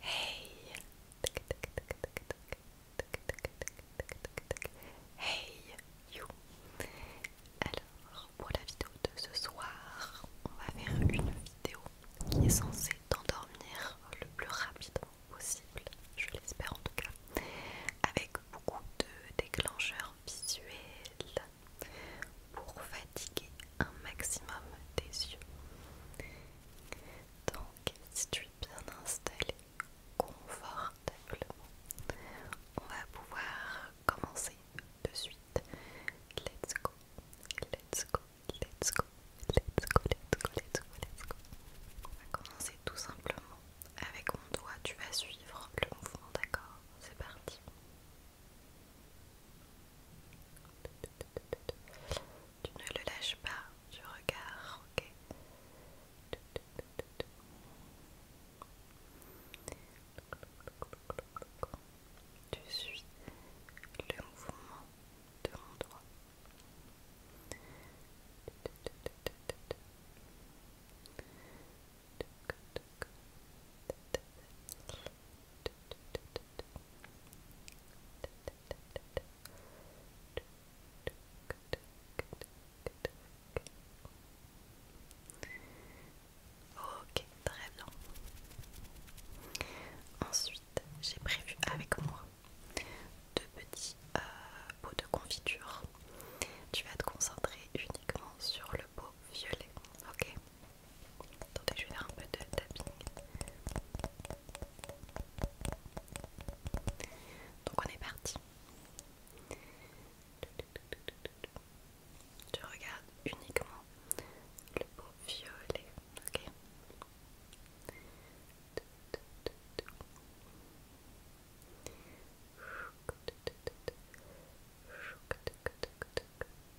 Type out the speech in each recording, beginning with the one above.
Hey Hey you Alors pour la vidéo de ce soir, on va faire une vidéo qui est censée t'endormir le plus rapidement possible, je l'espère en tout cas, avec beaucoup de déclencheurs visuels pour fatiguer un maximum des yeux. Donc, si tu es bien installé confortablement, on va pouvoir commencer de suite. Let's go, let's go, let's go, let's go, let's go, let's go, On va commencer tout simplement avec mon doigt. Tu vas suivre le mouvement, d'accord C'est parti. Tu ne le lâches pas je regarde, ok Tu suis le mouvement de mon Ok, très bien. Ensuite, j'ai prévu avec moi deux petits euh, pots de confiture. Tu vas te concentrer uniquement sur le violet, ok Attendez, je vais faire un peu de tapping. Donc on est parti. Tu regardes uniquement le beau violet, ok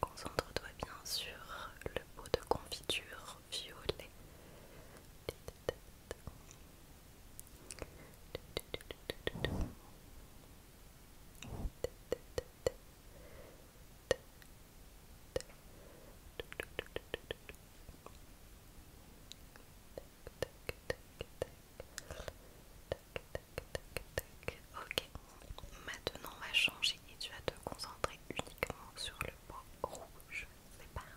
Concentre-toi bien sur le pot de confiture violet. Maintenant, on va changer et tu vas te concentrer uniquement sur le pot rouge. C'est parti.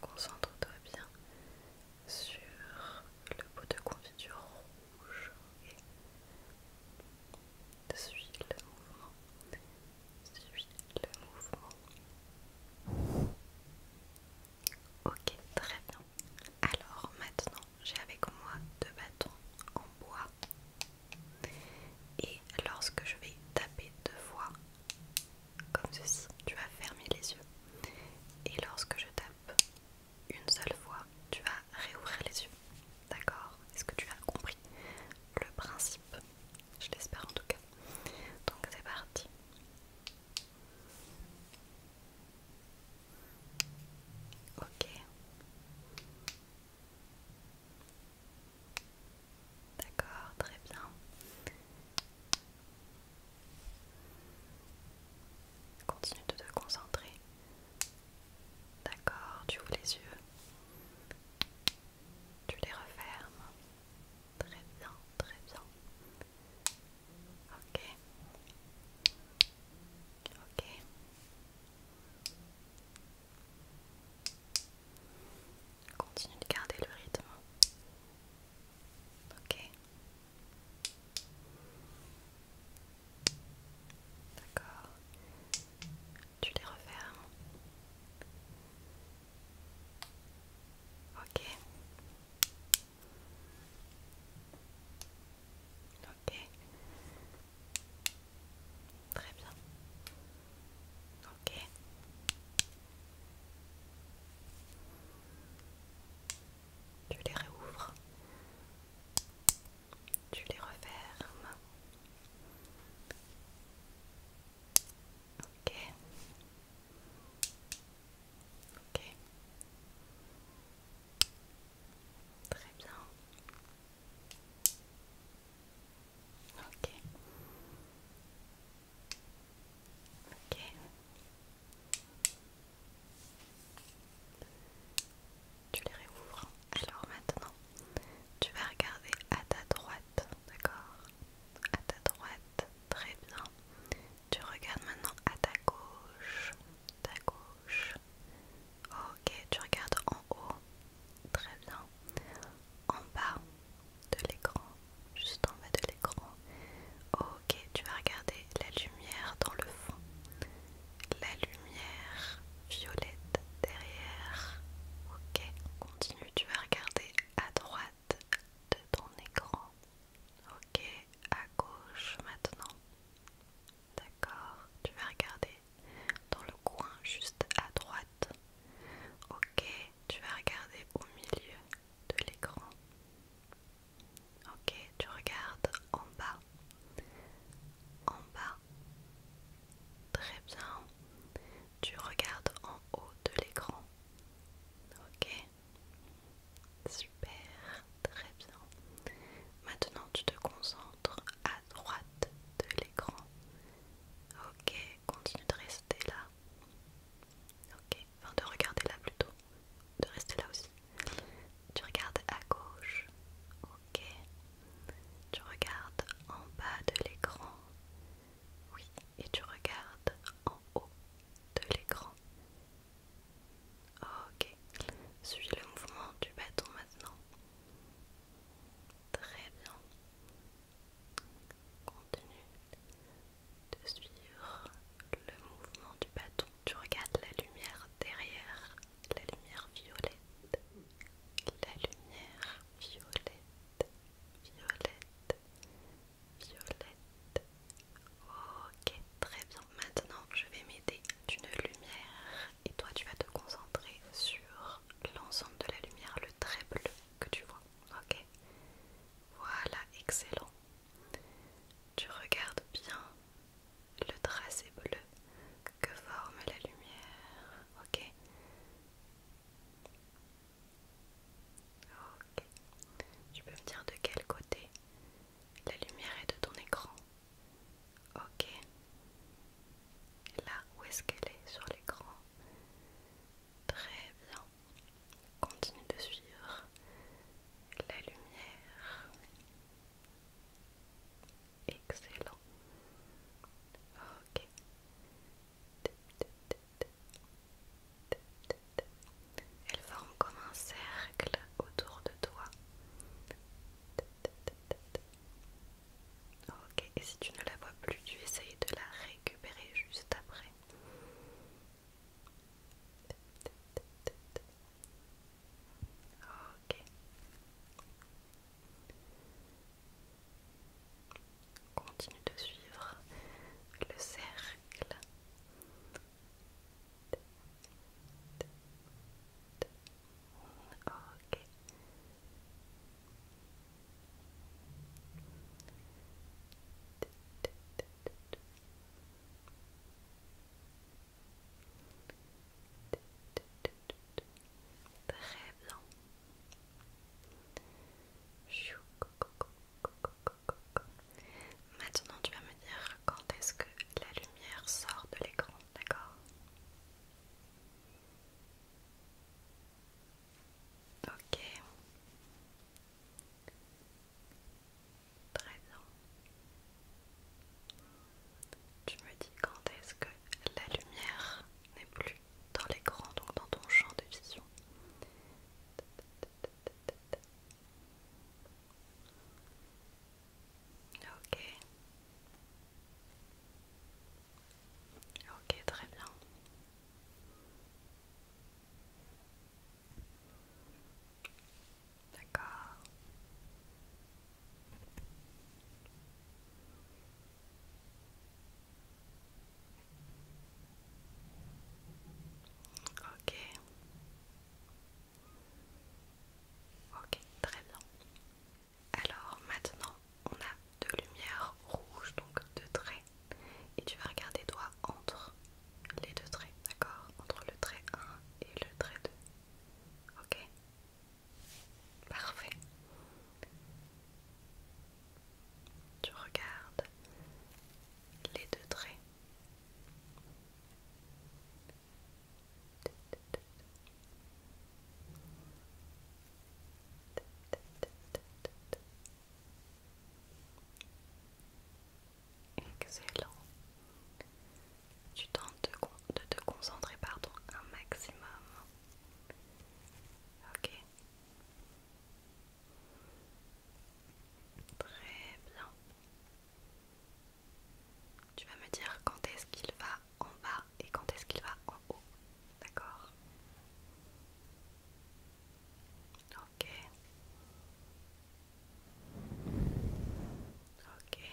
Concentre-toi bien sur le pot de confiture bouche suis le mouvement, suis le mouvement. Ok, très bien. Alors maintenant, j'ai avec moi deux bâtons en bois et lorsque je vais taper deux fois, comme ceci, tu vas fermer les yeux et lorsque je tape une seule fois, tu vas réouvrir les yeux. D'accord Est-ce que tu as compris le principe Je l'espère en tout cas. Donc c'est parti. Ok. D'accord, très bien. Continue de te concentrer D'accord, tu ouvres les yeux. Tu les refermes. Très bien, très bien. Ok. Ok. Continue de garder le rythme. Ok. D'accord. Tu les refermes. Ok. Ok. Très bien. Ok. Tu les réouvres. Tu les refermes. Ok. Ok. Très bien. Ok. Ok. Tu les réouvres. Alors maintenant, tu vas regarder à ta droite, d'accord À ta droite, très bien. Tu regardes maintenant à ta gauche, ta gauche. Ok, tu regardes en haut, très bien. En bas de l'écran, juste en bas de l'écran. Ok, tu vas regarder la lumière dans le fond la lumière violette derrière. Ok, continue, tu vas regarder à droite de ton écran. Ok, à gauche maintenant. D'accord, tu vas regarder dans le coin juste à droite. Ok, tu vas regarder au milieu de l'écran. Ok, tu regardes en bas. En bas Très bien. Tu regardes en haut de l'écran. Ok. Super. Très bien. Maintenant, tu te concentres à droite de l'écran. Ok. Continue de rester là. Ok. Enfin, de regarder là plutôt. De rester là aussi. Tu regardes à gauche, ok. Tu regardes en bas de l'écran, oui. Et tu regardes en haut de l'écran. Ok. Suis le mouvement du bâton maintenant. Très bien. Continue de suivre le mouvement du bâton. Tu regardes la lumière derrière la lumière violette, la lumière violette, violette, violette. Ok, très bien. Maintenant, je vais m'aider d'une lumière et toi, tu vas te concentrer sur l'ensemble de la lumière, le trait bleu que tu vois. Ok, voilà, excellent. Tu regardes bien le tracé bleu que forme la lumière. Ok. Ok. Tu peux me dire de quel côté la lumière est de ton écran. Ok. Là, où est-ce qu'elle est sur l'écran Très bien. Continue de suivre la lumière excellent. Ok. Elle forme comme un cercle autour de toi. Ok, et si tu ne la vois plus, tu essayes de la récupérer juste après. Ok. Continue de suivre le cercle. Très bien. Maintenant, tu vas me dire quand est-ce que la lumière sort de l'écran, d'accord Très tu me dis quand est-ce que la lumière n'est plus dans l'écran, donc dans ton champ de vision. Ok. Ok, très bien. D'accord. Ok. Ok, très bien. Alors maintenant, on a deux lumières rouges, donc deux traits. Et tu vas regarder toi entre les deux traits, d'accord Entre le trait 1 et le trait 2. Ok Parfait. Tu regardes les deux traits. Excellent tu tentes de, te concentrer pardon, un maximum. Ok. Très bien. Tu vas me dire quand est-ce qu'il va en bas et quand est-ce qu'il va en haut. D'accord Ok. Ok.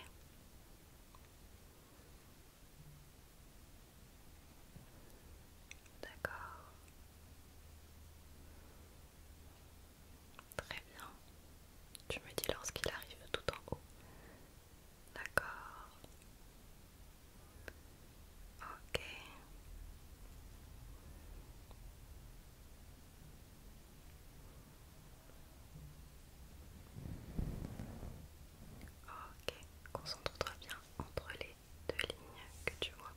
D'accord. Très bien. Tu me dis lorsqu'il arrive tout en haut. D'accord. Ok. Ok, concentre-toi bien entre les deux lignes que tu vois.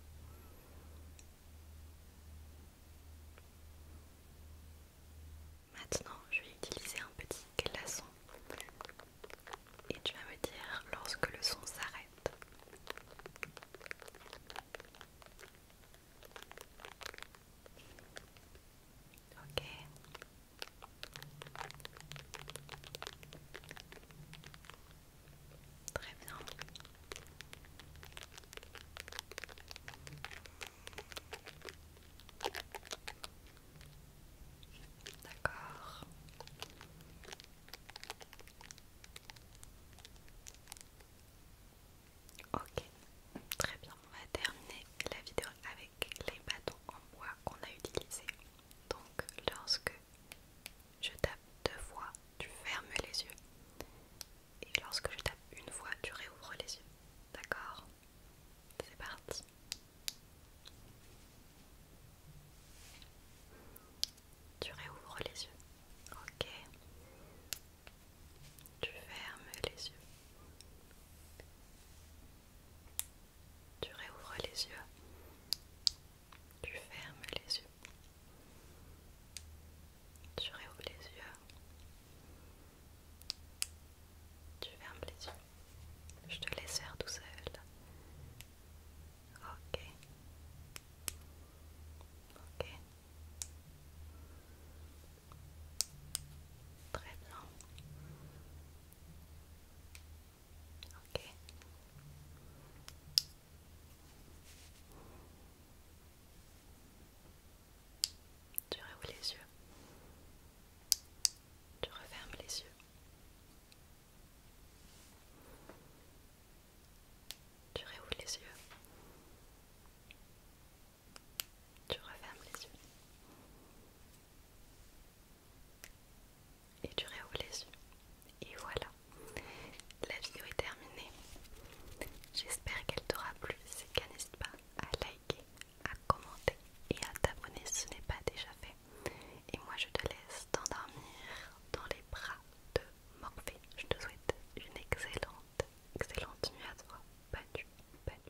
Maintenant, je vais utiliser un petit glaçon et tu vas me dire lorsque le son s'arrête. Ok. Très bien. D'accord. Ok, très bien, on va terminer la vidéo avec les bâtons en bois qu'on a utilisés. Donc lorsque je tape deux fois, tu fermes les yeux. Et lorsque je tape une fois, tu réouvres les yeux. D'accord C'est parti. Tu réouvres les yeux. Ok. Tu fermes les yeux. Tu réouvres les yeux. Tu fermes les yeux. Tu réouvres les yeux. Tu fermes les yeux. Je te laisse faire tout seul. Ok. Ok. Très Ok. Tu réouvres les yeux. Tu refermes les yeux. Tu réouvres les yeux. Tu refermes les yeux. Et tu réouvres les yeux. Et voilà, la vidéo est terminée. J'espère qu'elle t'aura plu. Si cas, n'hésite pas à liker, à commenter et à t'abonner si ce n'est pas déjà fait. Et moi, je te laisse t'endormir dans les bras de Morphée. Je te souhaite une excellente, excellente nuit à toi. Bonne